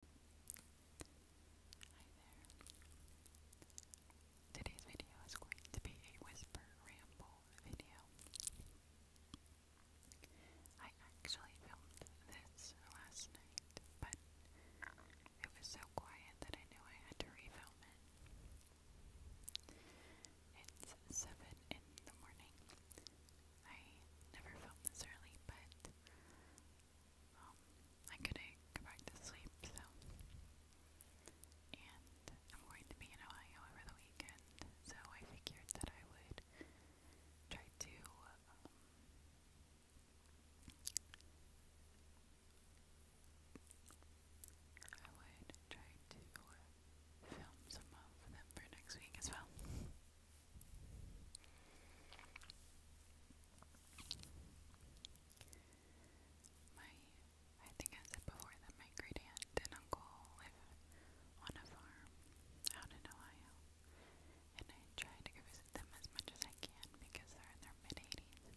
Hi there. Today's video is going to be a whisper ramble video. I actually filmed this last night, but it was so quiet that I knew I had to refilm it. It's 7 in the morning. I never filmed this early, but I could go back to sleep, so. And I'm going to be in Ohio over the weekend, so I figured that I would try to um, I would try to uh, film some of them for next week as well. My, I think I said before that my great and uncle live on a farm out in Ohio, and I try to go visit them as much as I can because they're in their mid 80s.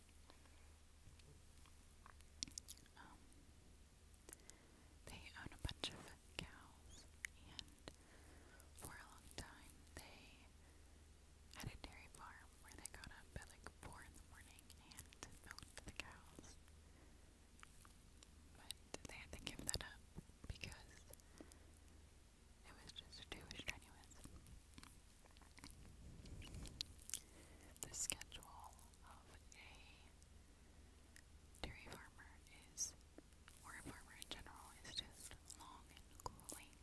Um, they own a bunch of cows and for a long time. They had a dairy farm where they got up at like 4 in the morning and milked the cows. But they had to give that up because it was just too strenuous. The schedule of a dairy farmer is or a farmer in general, is just long and cooling.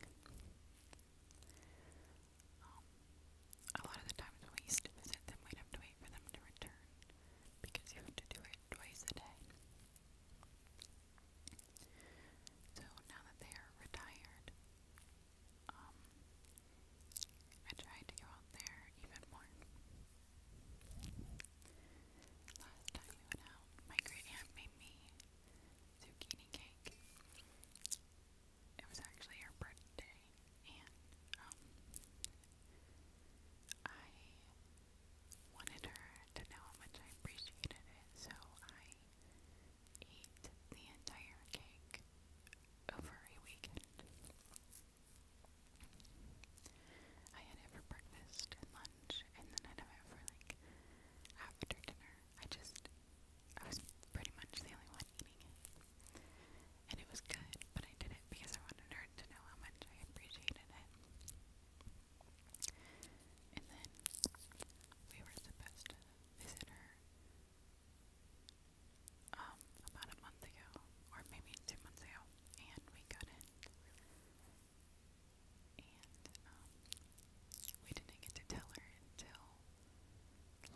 Um, a lot of the times we used visit them, we'd to wait for them to return because you have to do it twice a day. So now that they are retired, um, I try to go out there even more. Last time we went out, my great made me zucchini cake. It was actually her birthday, and I wanted her to know how much I appreciated it, so I ate the entire cake over a weekend. I had it for breakfast and lunch lunch, and then I'd it for like after dinner. I just, I was pretty much the only one eating it. And it was good, but I did it because I wanted her to know how much I appreciated it. And then we were supposed to visit her um, about a month ago, or maybe two months ago, and we couldn't. And um, we didn't get to tell her until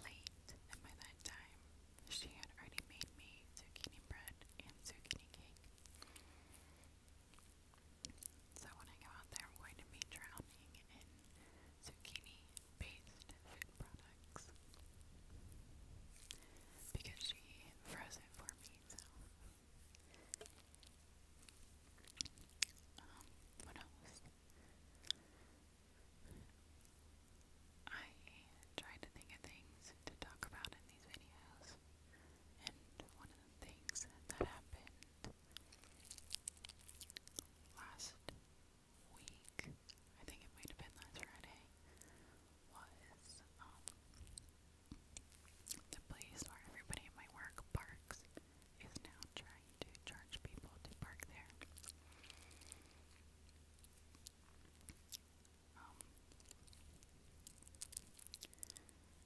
late, and by that time, she had already made me zucchini bread and zucchini cake. So when I go out there, I'm going to be drowning in zucchini-based food products because she froze it for me, so um, what else? I try to think of things to talk about in these videos, and one of the things that happened last week, I think it might have been last Friday, was um, the place where everybody in my work parks is now trying to charge people to park there. Um,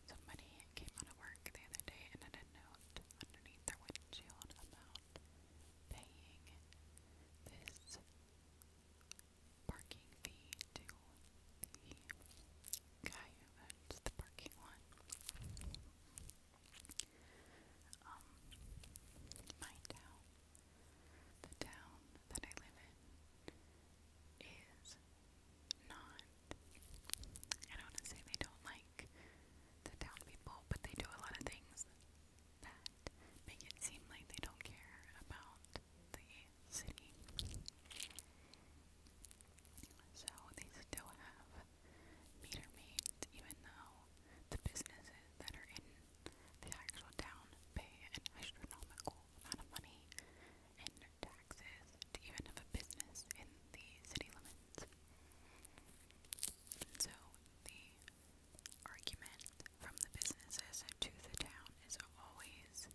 somebody came out of work the other day and had a note underneath their windshield about paying this parking fee to the guy who owns the parking lot. Um, my town, the town that I live in, is not. I don't want to say they don't like the town people, but they do a lot of things that make it seem like they don't care about the city. So they still have meter maids, even though the businesses that are in the actual town pay an astronomical amount of money in taxes to even have a business in the city limits. And so the argument from the businesses to the town is always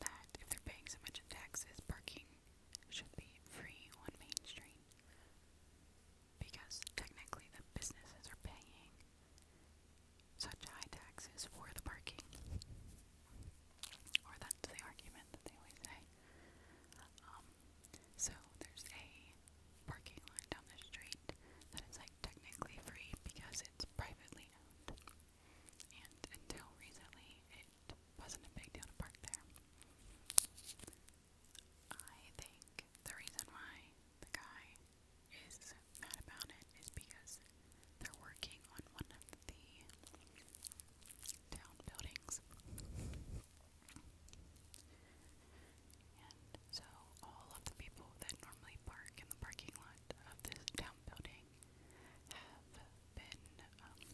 that if they're paying so much in taxes, parking should be free on Main Street. Because technically the businesses are paying such high taxes for the parking. Or that's the argument that they always say. Um, so there's a parking lot down the street that is like technically free because it's privately owned and until recently, it wasn't a big deal to park there. I think the reason why the guy is mad about it is because they're working on one of the town buildings. And so all of the people that normally park in the parking lot of this town building have been um,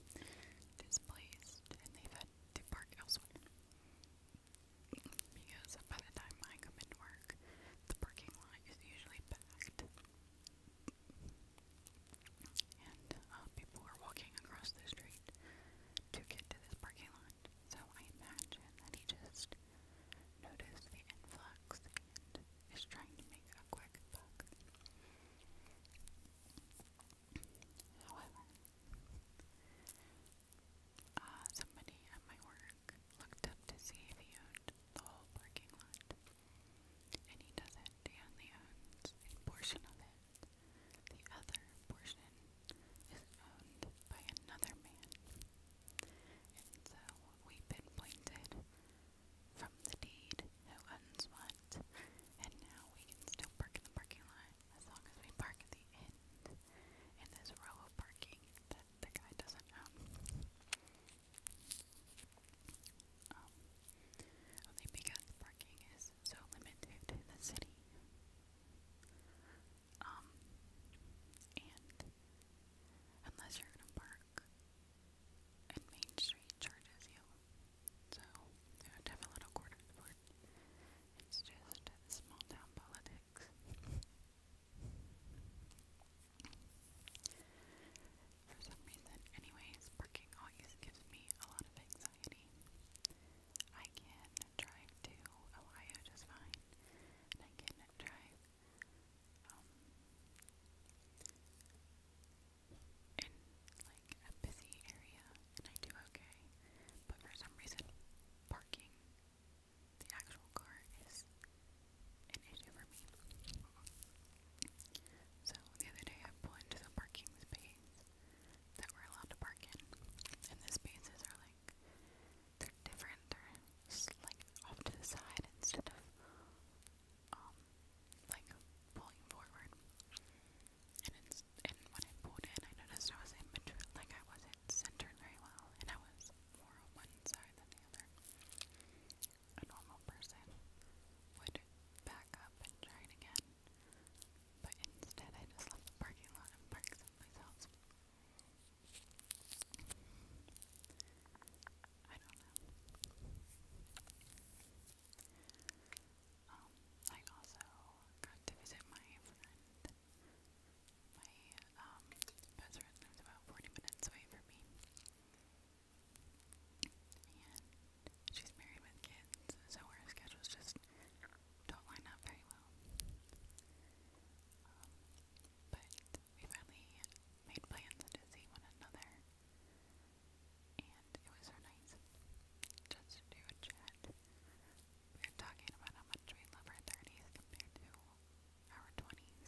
displaced and they've had to park elsewhere. Because by the time I come into work, the parking lot is usually packed. And uh, people are walking across the street to get to this parking lot. So I imagine that he just noticed the influx and is trying to make a quick buck. However, uh, somebody at my work looked up to see if he owned the whole parking lot. And he doesn't. He only owns a portion of it. The other portion is owned by another man. And so we've been pointed from the deed who owns what, and now we can still park in the parking lot as long as we park at the end in this row of parking that the guy doesn't own. Um, only because parking is so limited in the city. Um, and unless you're gonna park and Main Street charges you. So you have a little quarter for it. It's just small town politics. For some reason, anyways, parking always gives me a lot of anxiety. I can drive to Ohio just fine, and I can drive um, in like a busy area, and I do okay. But for some reason, parking the actual car is an issue for me. So the other day, I pulled into the parking space that we allowed to park in, and the spaces are like they're different. They're just like off to the side instead of um, like pulling forward. And it's and when it pulled in, I noticed I wasn't like I wasn't centered very well, and I was more on one side than the other. A normal person would back up and try it again, but instead I just left the parking lot and parked someplace else. I don't know. Um, I also got to visit my My um, best friend lives about 40 minutes away from me. And she's married with kids, so our schedules just don't line up very well. Um, but we finally made plans to see one another, and it was so nice just to chat. We were talking about how much we love our 30s compared to our 20s,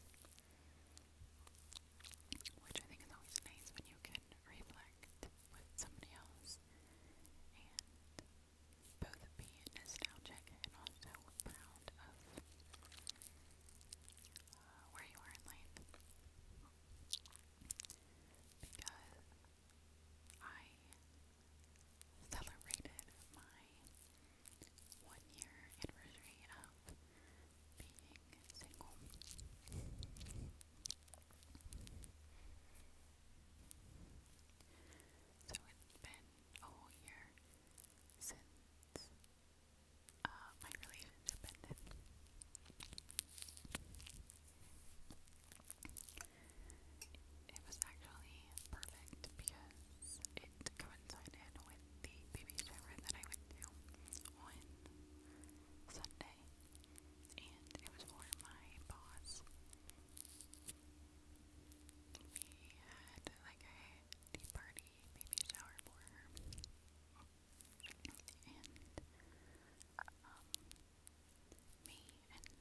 which I think is always nice when you can reflect with somebody else and both be nostalgic and also proud of uh, where you are in life. Because I celebrated my one year anniversary of being single. So it's been a whole year since uh, my relationship ended. It was actually perfect because it coincided with the baby shower that I went to on Sunday, and it was for my boss. We had like a tea party maybe a shower for her. And me and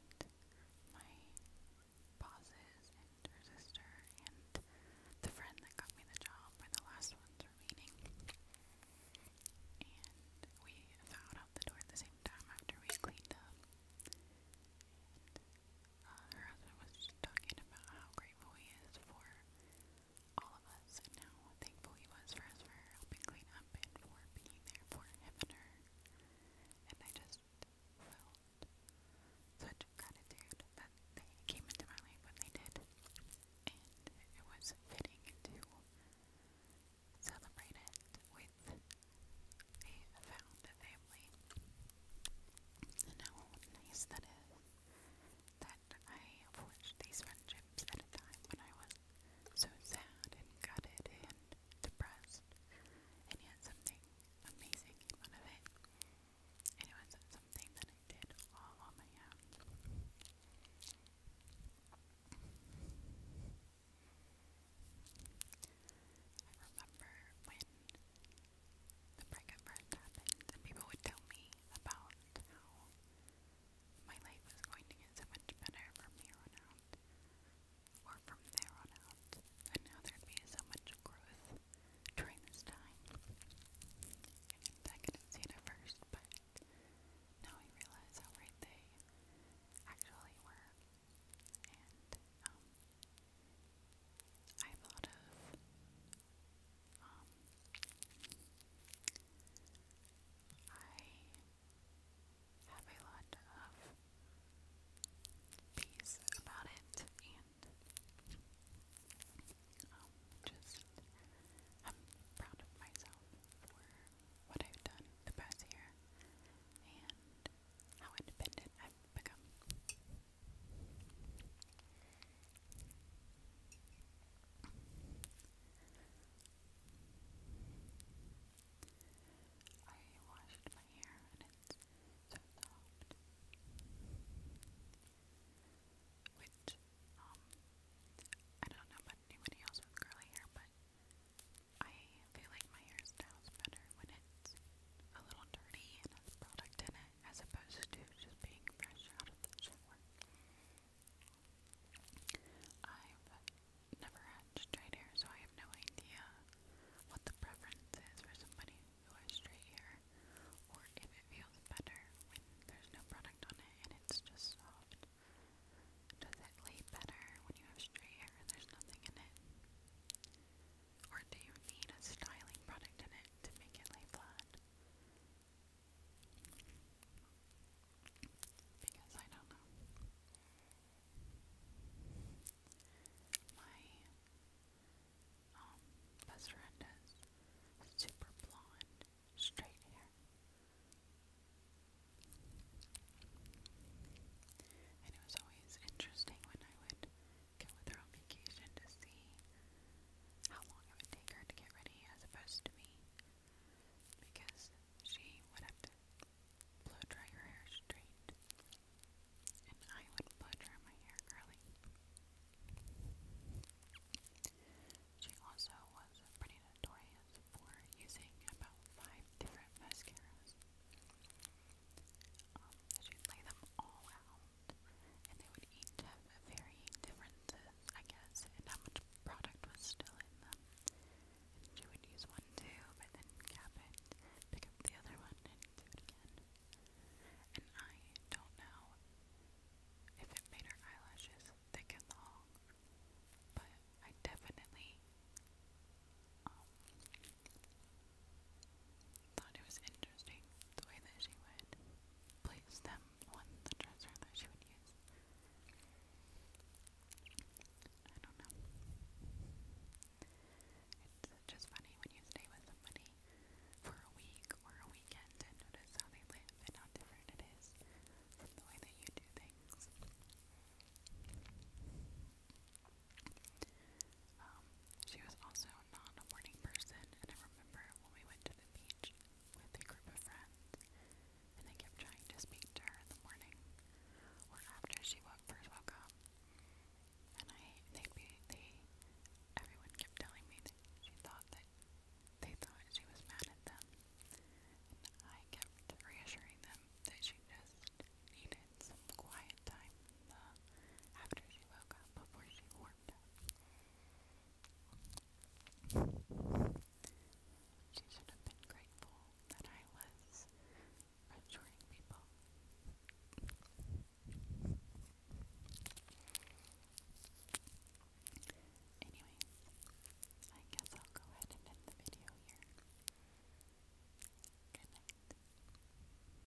my bosses and her sister and the friend that got me the job were the last ones remaining. And we vowed out the door at the same time after we cleaned up uh, her husband was talking about how grateful he is for all of us and how thankful he was for us for helping clean up and for being there for him and her. And I just felt such gratitude that they came into my life when they did. And it was fitting to celebrate it with a found family. And how nice that is that I forged these friendships at a time when I was so sad and gutted and depressed, and yet something amazing came out of it. it was something that I did all on my own. I remember when the breakup first happened, and people would tell me about how my life was going to get so much better from here on out, or from there on out, and how there'd be so much growth during this time. I couldn't see it at first, but now I realize how right they actually were. And, um, I have of um, I have a lot of peace about it and just am proud of myself for what I've done the past and how independent I've become. I washed my hair and it's so soft. Which, I don't know about anybody else with curly hair, but I feel like my hairstyle's better when it's a little dirty and has product in it as opposed to just being fresh out of the shower. I've never had straight hair, so I have no idea what the preference is for somebody who has straight hair, or if it feels better when there's no product on it and it's just soft. Does it lay better when you have straight hair and there's nothing in it? Or do you need a styling product in it to make it lay flat? Because I don't know. My um, best friend has super blonde, straight hair. And it was always interesting when I would go with her on vacation to see how long it would take her to get ready as opposed to me. Because she would have to blow dry her hair straight, and I would blow dry my hair curly. She also was pretty notorious for using about five different mascaras. Um, you lay them all out, and they would each have varying differences, I guess, in how much product was still in them. And would use one too, but then cap it, pick up the other one, and do it again. And I don't know if it made her eyelashes thick and long, but I definitely um, Thought it was interesting the way that she would place them on the dresser that she would use. I don't know. It's just funny when you stay with somebody for a week or a weekend and notice how they live and how different it is from the way that you do things. Um, she was also also not a morning person, and I remember when we went to the beach with a group of friends, and I kept trying to speak to her in the morning or after she first woke up. And I, they they, everyone kept telling me that she thought that they thought she was mad at them. And I kept reassuring them that she just needed some quiet time uh, after she woke up up before she warmed She should have been grateful that I was reassuring people. Anyways, I guess I'll go ahead and end the video here. Good night.